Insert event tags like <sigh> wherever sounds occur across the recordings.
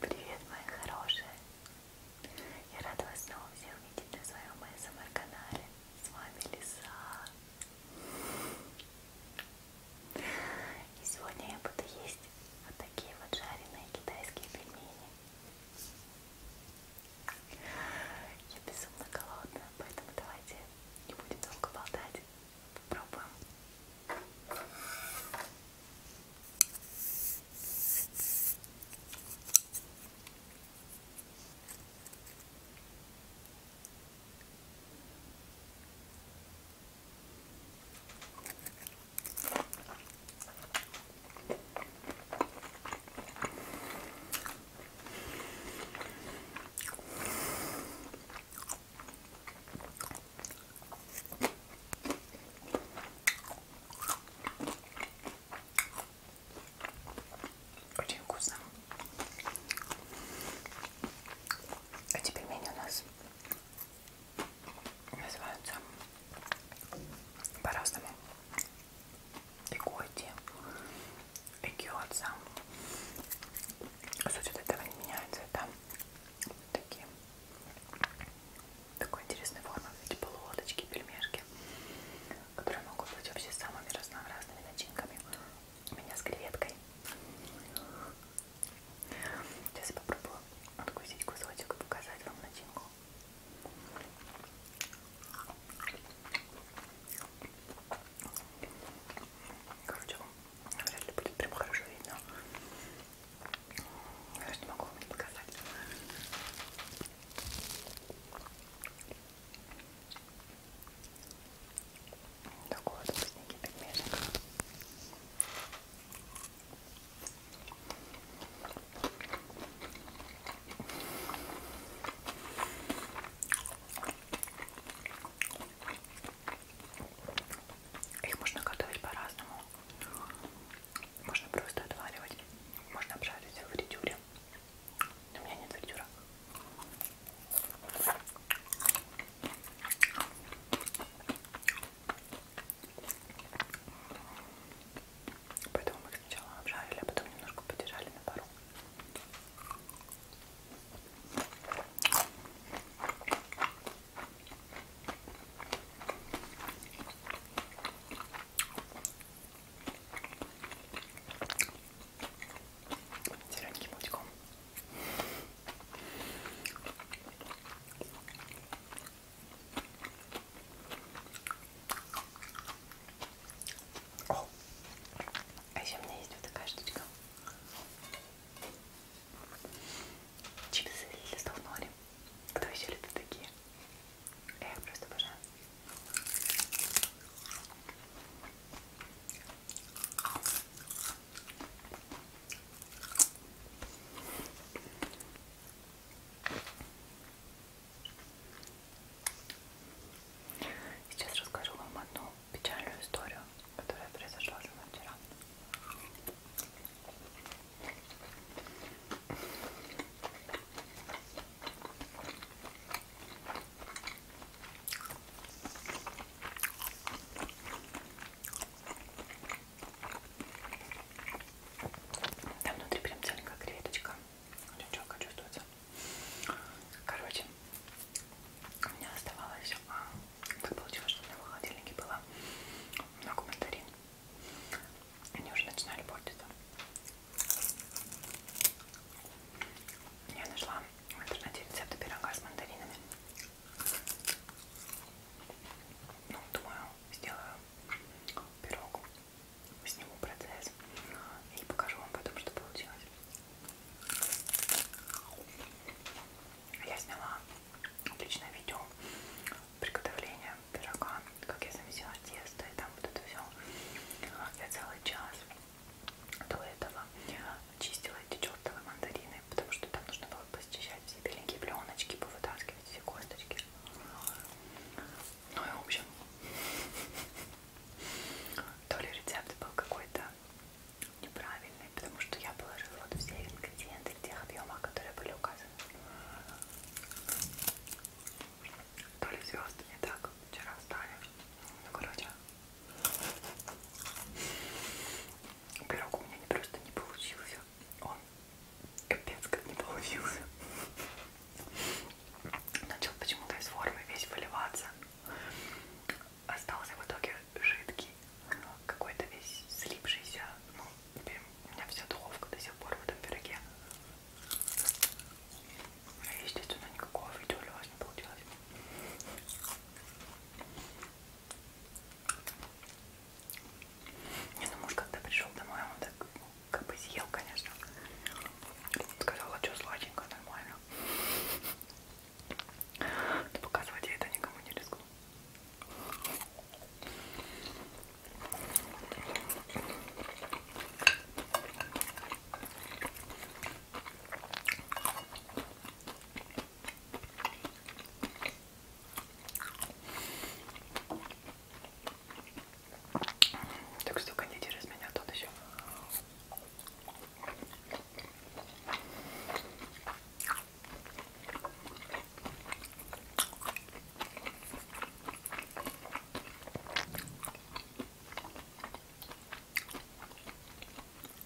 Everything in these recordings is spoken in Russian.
Привет, мои хорошие! Я рада вас снова всех видеть на своем СМР-канале. Эм С вами Лиса. И сегодня я буду есть вот такие вот жареные китайские пельмени. Я безумно голодная, поэтому давайте не будем долго болтать. Попробуем. М -м очень вкусно. А теперь пельмени у нас называются по-разному. Экоти, экиотса. Суть от этого не меняется. Это такие такой интересной формы, эти полуодочки, пельмешки, которые могут быть вообще самыми разнообразными начинками. У меня с креветкой. Сейчас я попробую откусить кусочек и показать вам начинку. Короче, вряд ли будет прям хорошо видно. Я же не могу вам не показать такого вот вкусненький пельмешек. Их можно готовить по-разному. Можно просто отваривать, можно обжарить в фритюре. У меня нет фритюра. Поэтому мы их сначала обжарили, а потом немножко подержали на пару. Зелененьким утиком. О, а еще у меня есть вот такая штучка. Чипсы листов нори. Кто еще любит такие? Э, я их просто обожаю. Сейчас расскажу вам одну печальную историю, которая произошла со мной вчера. Там внутри прям целенькая креветочка. Очень четко чувствуется. Короче, у меня оставалось... Так получилось, что у меня в холодильнике было много мандарин. Они уже начинали портиться. Я нашла в интернете рецепты пирога с мандаринами. Ну, думаю, сделаю пирог, сниму процесс и покажу вам потом, что получилось. Я сняла отличное видео приготовления пирога, как я замесила тесто и там вот это все. Я целый час до этого чистила эти чертовы мандарины, потому что там нужно было посчищать все беленькие пленочки, повытаскивать все косточки. Ну и в общем, <laughs> то ли рецепт был какой-то неправильный, потому что я положила вот все ингредиенты в тех объемах, которые были указаны. То ли звезды не так вчера встали. Ну короче. Пирог у меня не просто не получился, он капец как не получился. Начал почему-то из формы весь выливаться. Остался в итоге жидкий, какой-то весь слипшийся. Ну, теперь у меня вся духовка до сих пор в этом пироге. А естественно, никакого видео для вас не получилось. Не, ну муж когда пришел домой, он так как бы съел, конечно. Сказал, а что сладенько, нормально. Но показывать я это никому не рискну. Так что кондитер из меня тот еще.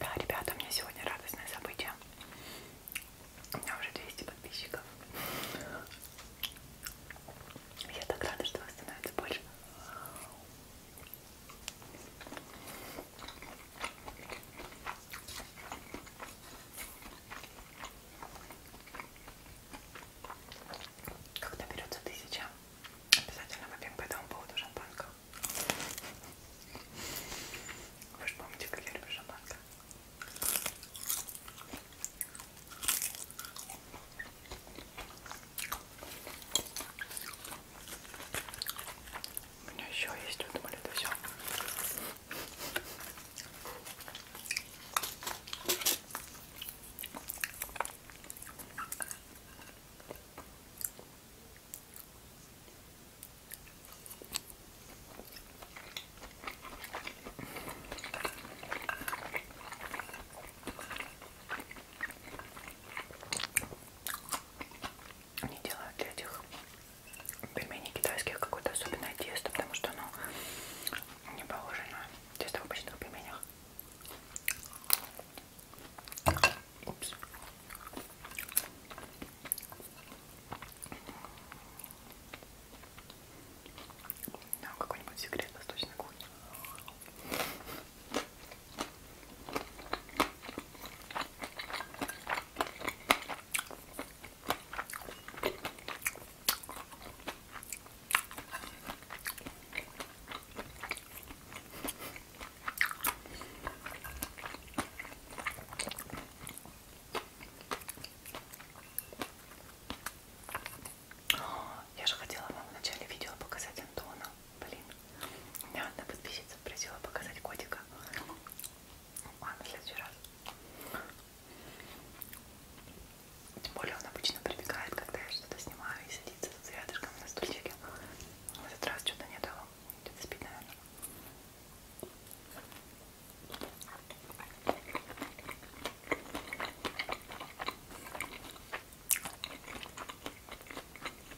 Да, ребята, у меня сегодня радостное событие. У меня уже 200 подписчиков. Я так рада, что вас становится больше. Когда берется тысяча, обязательно выпьем по этому поводу шампанского. Вы же помните, как я люблю шампанское. У меня еще есть, вы думали, это все. Они делают для этих пельмени китайских какое-то особенное тесто, потому что оно не похоже на тесто в обычных пельменях. Упс. Да, какой-нибудь секрет восточной кухни. Я же хотела вам в начале видео показать Антона. Блин, у меня одна подписчица просила показать котика. Ладно, в следующий раз. Тем более он обычно прибегает, когда я что-то снимаю и садится с рядышком на стульчике. В этот раз что-то не дало. Где-то спит, наверное.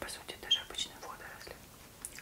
По сути, даже обычные водоросли.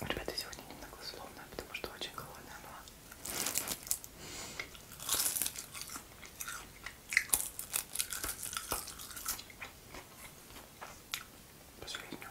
Ребята, сегодня немного условная, потому что очень голодная была. Последнюю.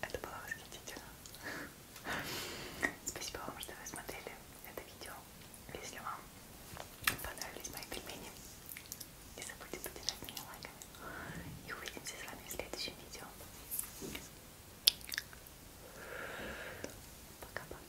Это было восхитительно. Спасибо вам, что вы смотрели это видео. Если вам понравились мои пельмени, не забудьте поддержать меня лайками. И увидимся с вами в следующем видео. Пока-пока.